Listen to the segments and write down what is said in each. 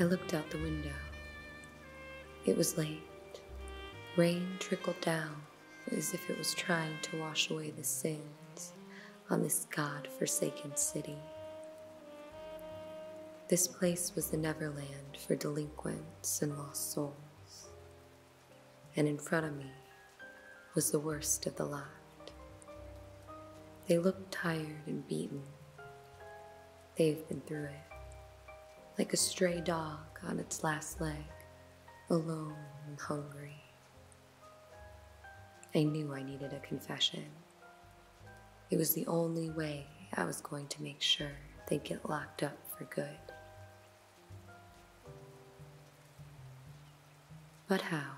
I looked out the window. It was late. Rain trickled down as if it was trying to wash away the sins on this God forsaken city. This place was the Neverland for delinquents and lost souls, and in front of me was the worst of the lot. They looked tired and beaten. They've been through it, like a stray dog on its last leg, alone and hungry. I knew I needed a confession. It was the only way I was going to make sure they'd get locked up for good. But how?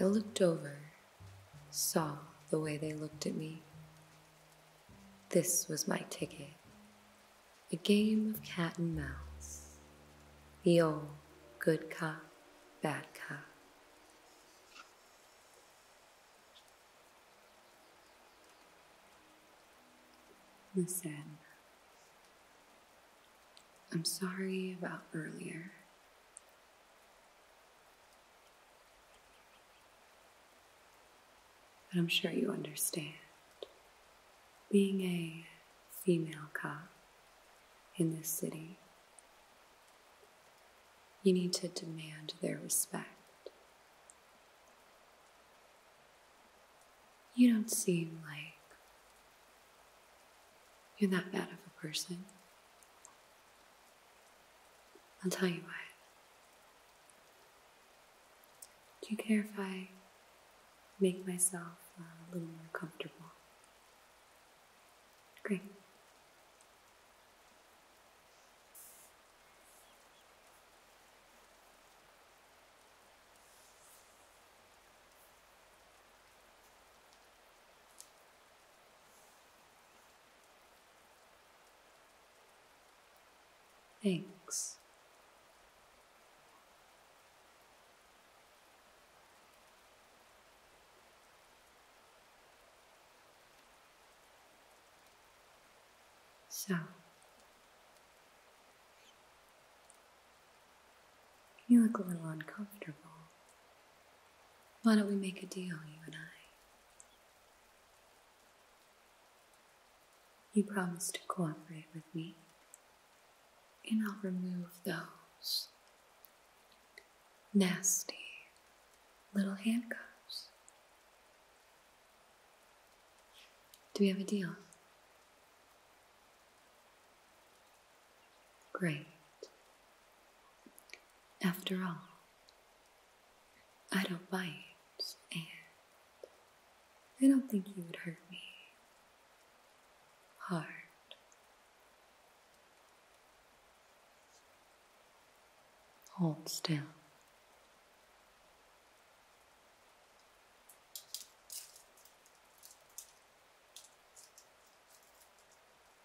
I looked over, saw the way they looked at me. This was my ticket. A game of cat and mouse. The old good cop, bad cop. Listen, I'm sorry about earlier. But I'm sure you understand. Being a female cop in this city. You need to demand their respect. You don't seem like you're that bad of a person. I'll tell you why. Do you care if I make myself uh, a little more comfortable? Great. Thanks. So, you look a little uncomfortable. Why don't we make a deal, you and I? You promise to cooperate with me and I'll remove those nasty little handcuffs. Do we have a deal? Great. After all, I don't bite, and I don't think you would hurt me heart. Hold still.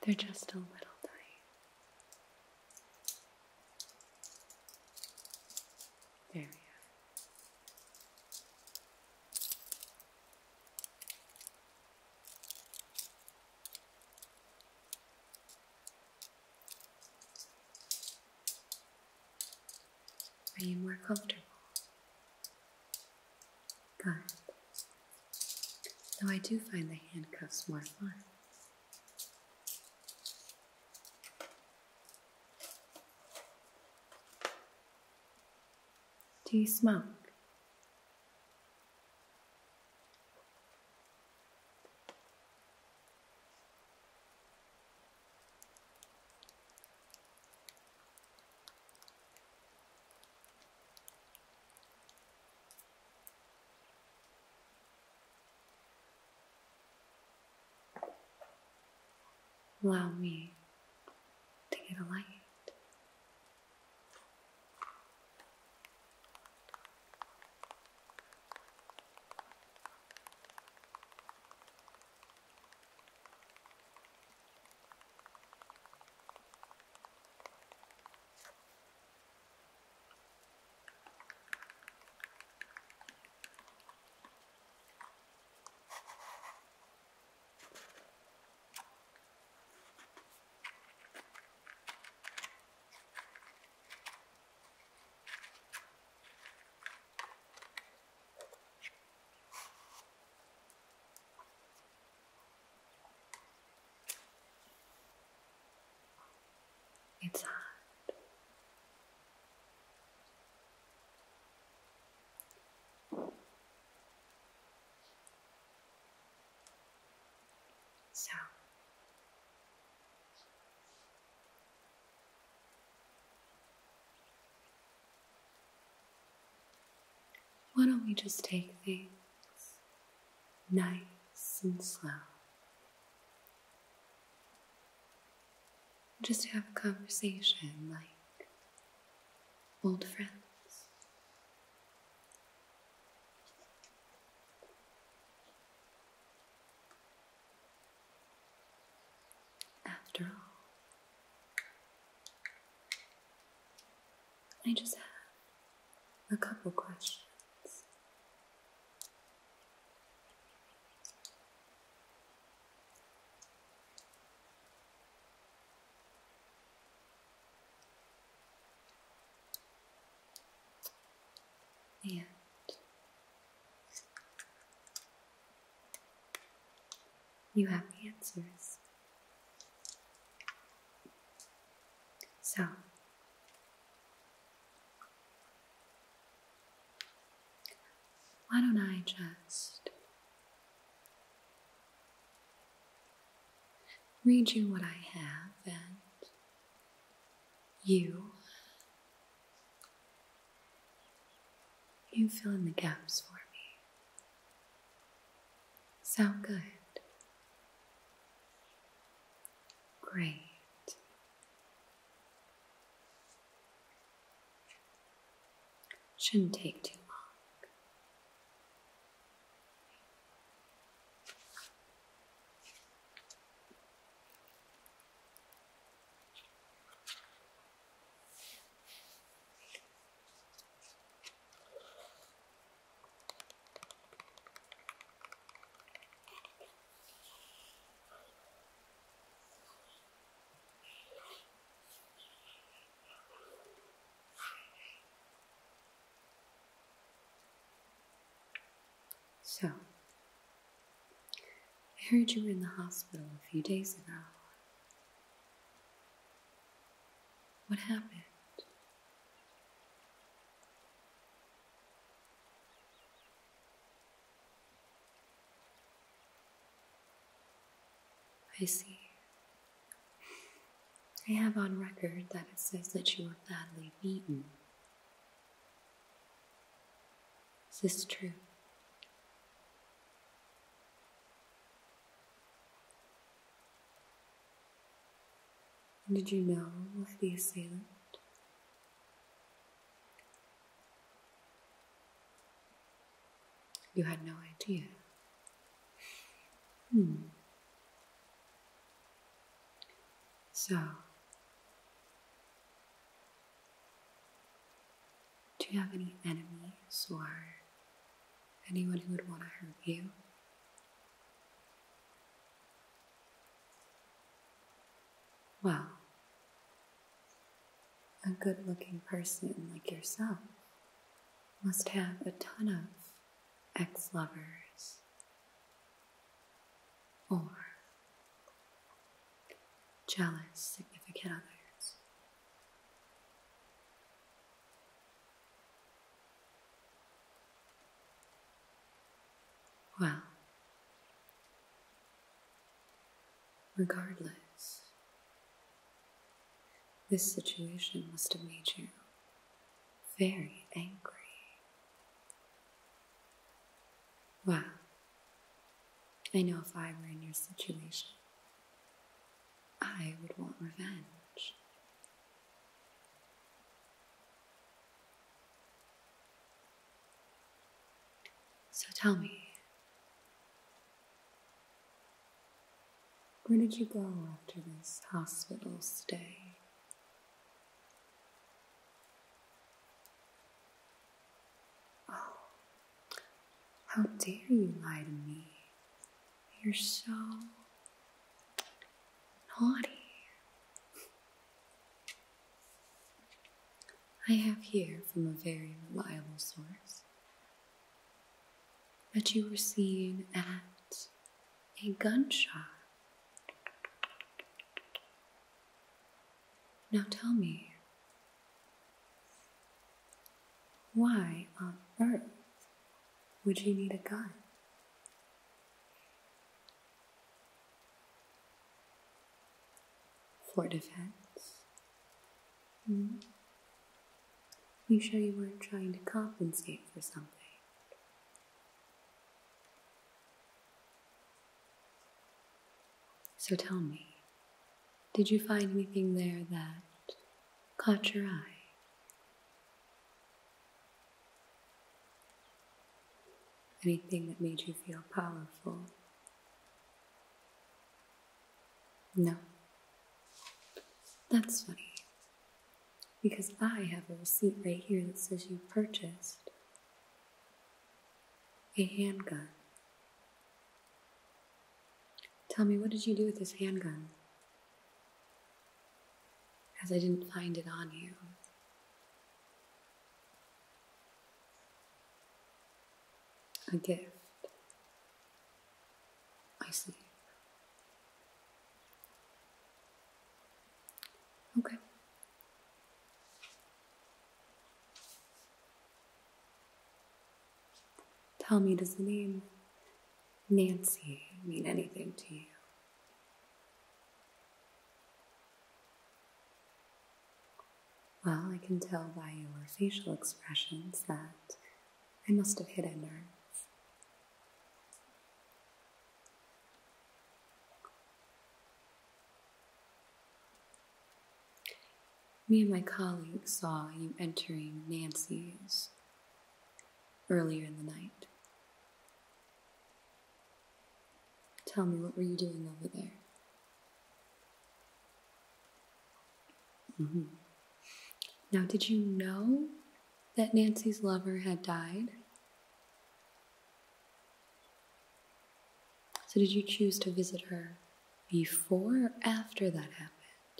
They're just a little tight. There we are. Are you more comfortable? Good. Though I do find the handcuffs more fun. Do you smoke? Allow me to get a light. It's hard. So why don't we just take things nice and slow? Just have a conversation like old friends. After all, I just have a couple questions and you have the answers. So, why don't I just read you what I have, and you, you fill in the gaps for me. Sound good? Great. Shouldn't take too long. So, I heard you were in the hospital a few days ago. What happened? I see. I have on record that it says that you were badly beaten. Is this true? And did you know of the assailant? You had no idea. Hmm. So, do you have any enemies or anyone who would want to hurt you? Well, a good looking person like yourself must have a ton of ex lovers or jealous significant others. Well, Regardless, this situation must have made you very angry. Well, I know if I were in your situation, I would want revenge. So tell me, where did you go after this hospital stay? Oh, how dare you lie to me? You're so naughty. I have here from a very reliable source that you were seen at a gunshot. Now tell me, why on earth would you need a gun? For defense? Mm. You sure you weren't trying to compensate for something? So tell me, did you find anything there that caught your eye? Anything that made you feel powerful? No. That's funny. Because I have a receipt right here that says you purchased a handgun. Tell me, what did you do with this handgun? Because I didn't find it on you. A gift. I see. Okay. Tell me, does the name Nancy mean anything to you? Well, I can tell by your facial expressions that I must have hit a nerve. Me and my colleague saw you entering Nancy's earlier in the night. Tell me, what were you doing over there? Mm-hmm. Now, did you know that Nancy's lover had died? So, did you choose to visit her before or after that happened?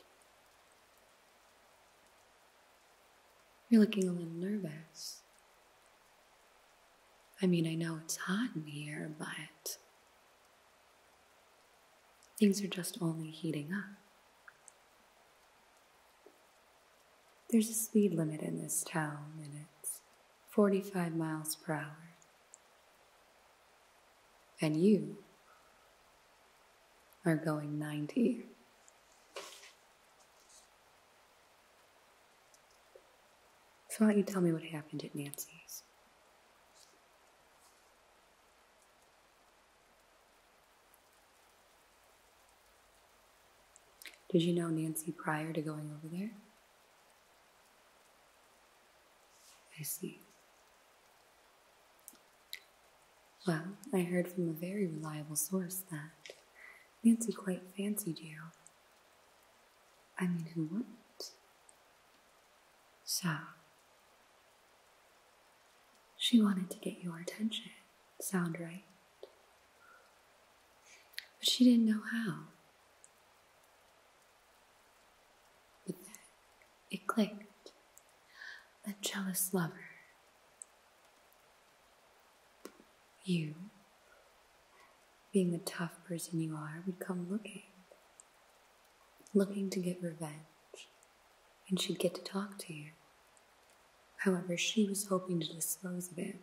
You're looking a little nervous. I mean, I know it's hot in here, but Things are just only heating up. There's a speed limit in this town, and it's 45 miles per hour. And you are going 90. So, why don't you tell me what happened at Nancy's? Did you know Nancy prior to going over there? I see. Well, I heard from a very reliable source that Nancy quite fancied you. I mean, who wouldn't? So, she wanted to get your attention. Sound right? But she didn't know how. But it clicked. A jealous lover. You, being the tough person you are, would come looking looking to get revenge, and she'd get to talk to you. However, she was hoping to dispose of it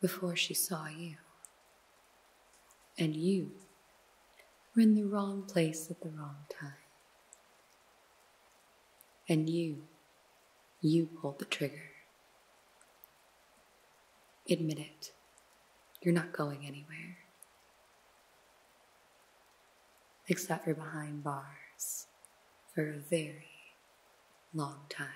before she saw you. And you were in the wrong place at the wrong time. And you, you pulled the trigger. Admit it. You're not going anywhere except for behind bars for a very long time.